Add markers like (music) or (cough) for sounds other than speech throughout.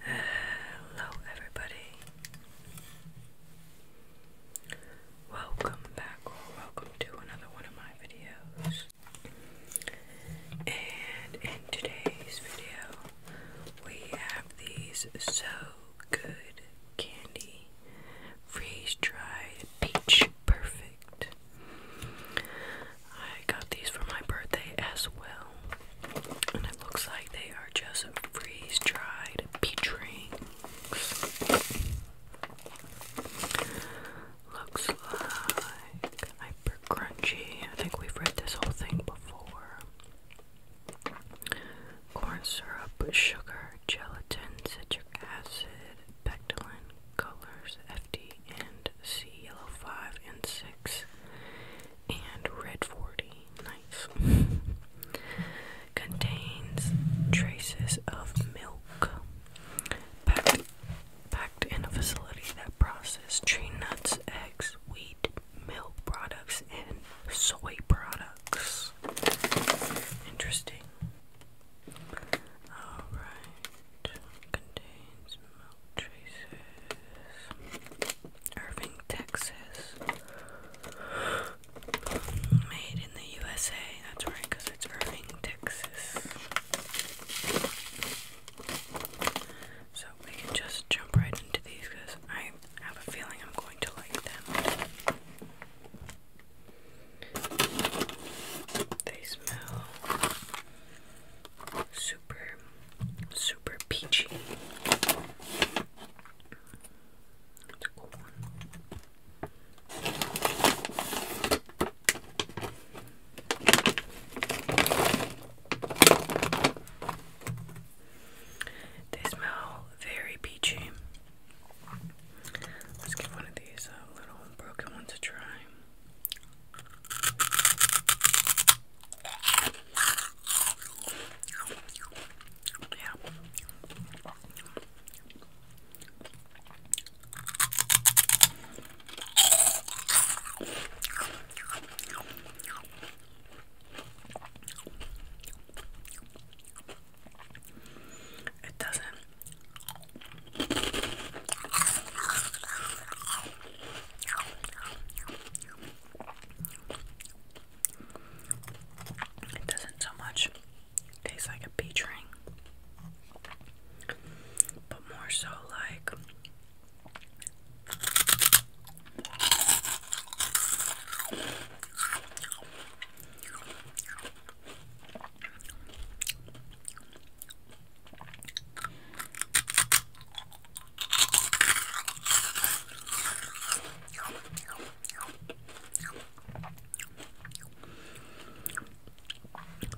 Hello, everybody. Welcome back, or welcome to another one of my videos. And in today's video, we have these So Good Candy Freeze Dried Peach Perfect. I got these for my birthday as well. And it looks like they are just freeze dried peach Looks like hyper crunchy. I think we've read this whole thing before. Corn syrup, sugar, gelatin, citric acid, pectin, colors, FD, and C yellow 5 and 6 and red 40. Nice. (laughs) Contains traces of milk packed, in a facility that processes tree nuts, eggs, wheat, milk products, and soy products. Interesting. Alright. Contains Irving, Texas. Made in the USA. That's right, it's Irving, Texas. So we can just jump right into these I have a feeling I'm going to like them. They smell super, super peachy. That's a cool one. They smell very peachy. Let's give one of these little broken ones a try. Yeah. It doesn't it doesn't so much taste like a peach ring, but more so like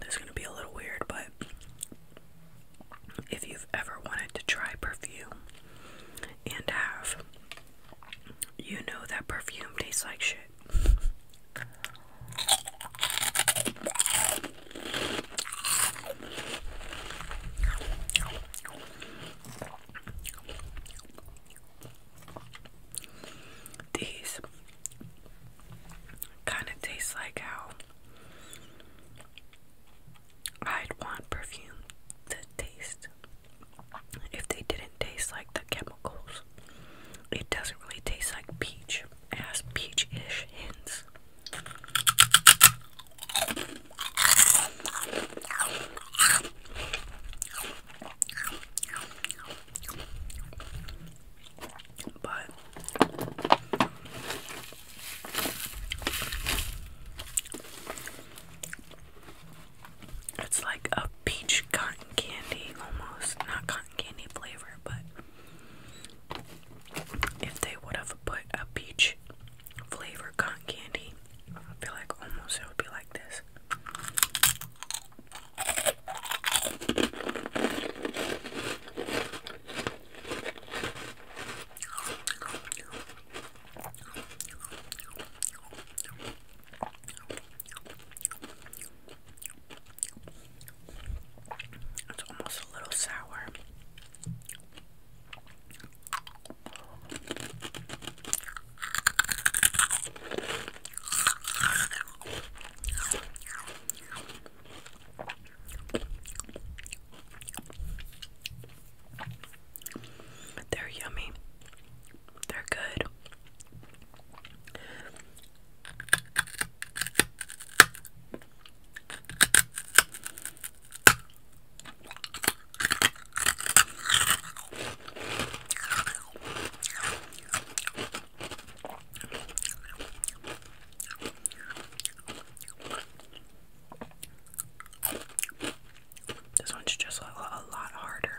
this is going to be a little weird, but if you've ever wanted to try perfume and have, you know that perfume tastes like shit. (laughs) These kind of taste like how I'd want perfume to taste if they didn't taste like the chemicals. It doesn't really taste like peach. As peach-ish hints. But it's like a peach cotton candy almost, not cotton candy flavor, but if they would have put a peach flavor cotton candy, I feel like almost it would be like this. It's almost a little sour. They're yummy. They're good. This one's just a, lot harder.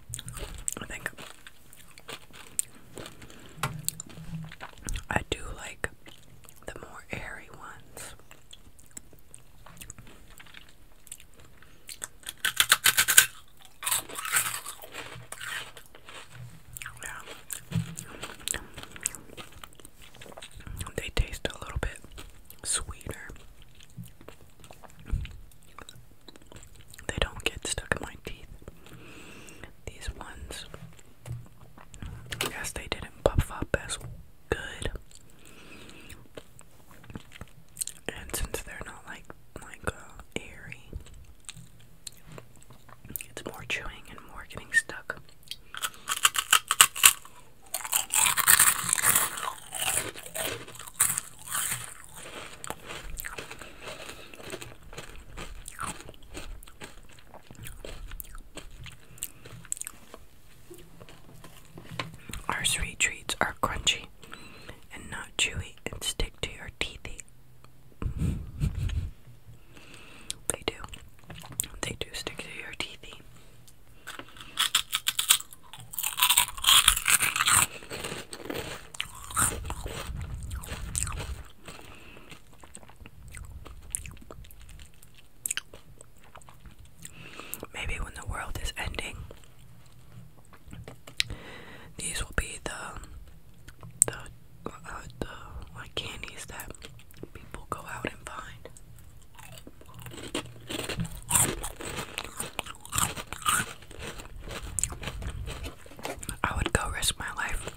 I think I do like the more airy ones. Yeah. They taste a little bit sweeter. They don't get stuck in my teeth. These ones, yes, they didn't puff up as good. And since they're not like like uh, airy, it's more chewing and more getting stuck. Our sweet treats are crunchy and not chewy and stick to your teethy. (laughs) they do. They do stick to your teethy. Maybe when the world is ending, these will be the the uh, the candies that people go out and find. I would go risk my life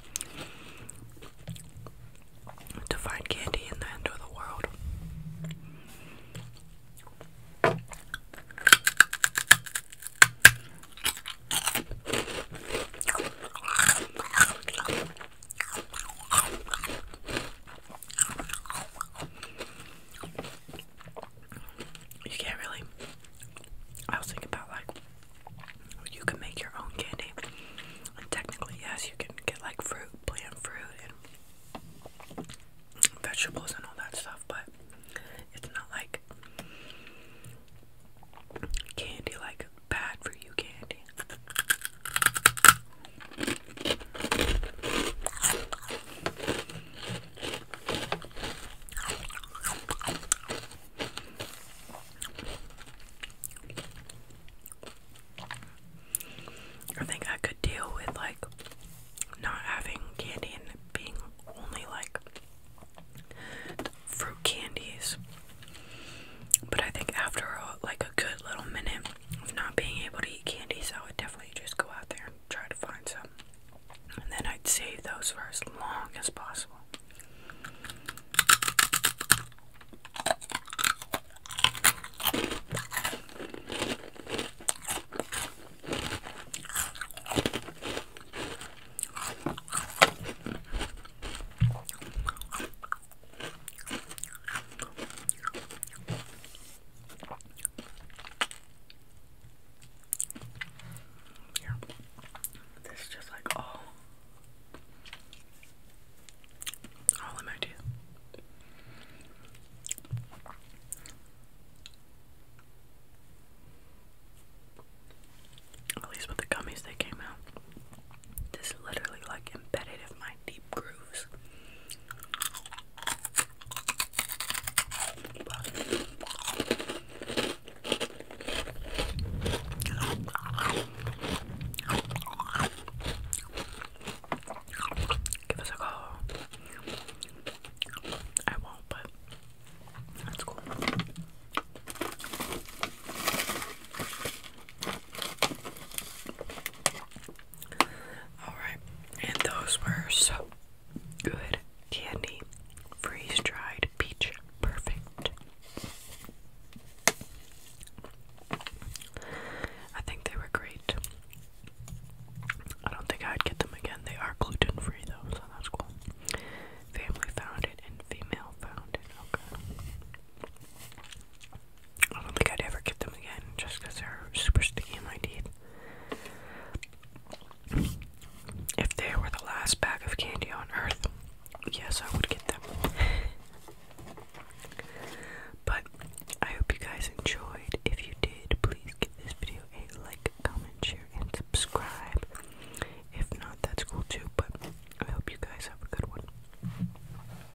to find candy in the end of the world. You can't really. I was thinking about like you can make your own candy, technically, yes, you can get like fruit, plant fruit, and vegetables and all that stuff, but it's not like candy like bad for you candy. I think I could deal with like not having candy and being only like fruit candies. But I think after uh, like a good little minute of not being able to eat candy, so I would definitely just go out there and try to find some. And then I'd save those for as long as possible. Here. This is just like all all in my teeth. At least with the gummies they came out. This literally like embedded in my deep grooves. Give us a call. I won't, but that's cool. Alright, and those were so good. Candy, freeze dried, peach, perfect. I think they were great. I don't think I'd get them again. They are gluten free though, so that's cool. Family founded and female founded. Okay. I don't think I'd ever get them again just because they're super sticky in my teeth. If they were the last bag of candy on earth, yes, I would get them. but I hope you guys enjoyed. If you did, please give this video a like, comment, share, and subscribe. If not, that's cool too, but I hope you guys have a good one.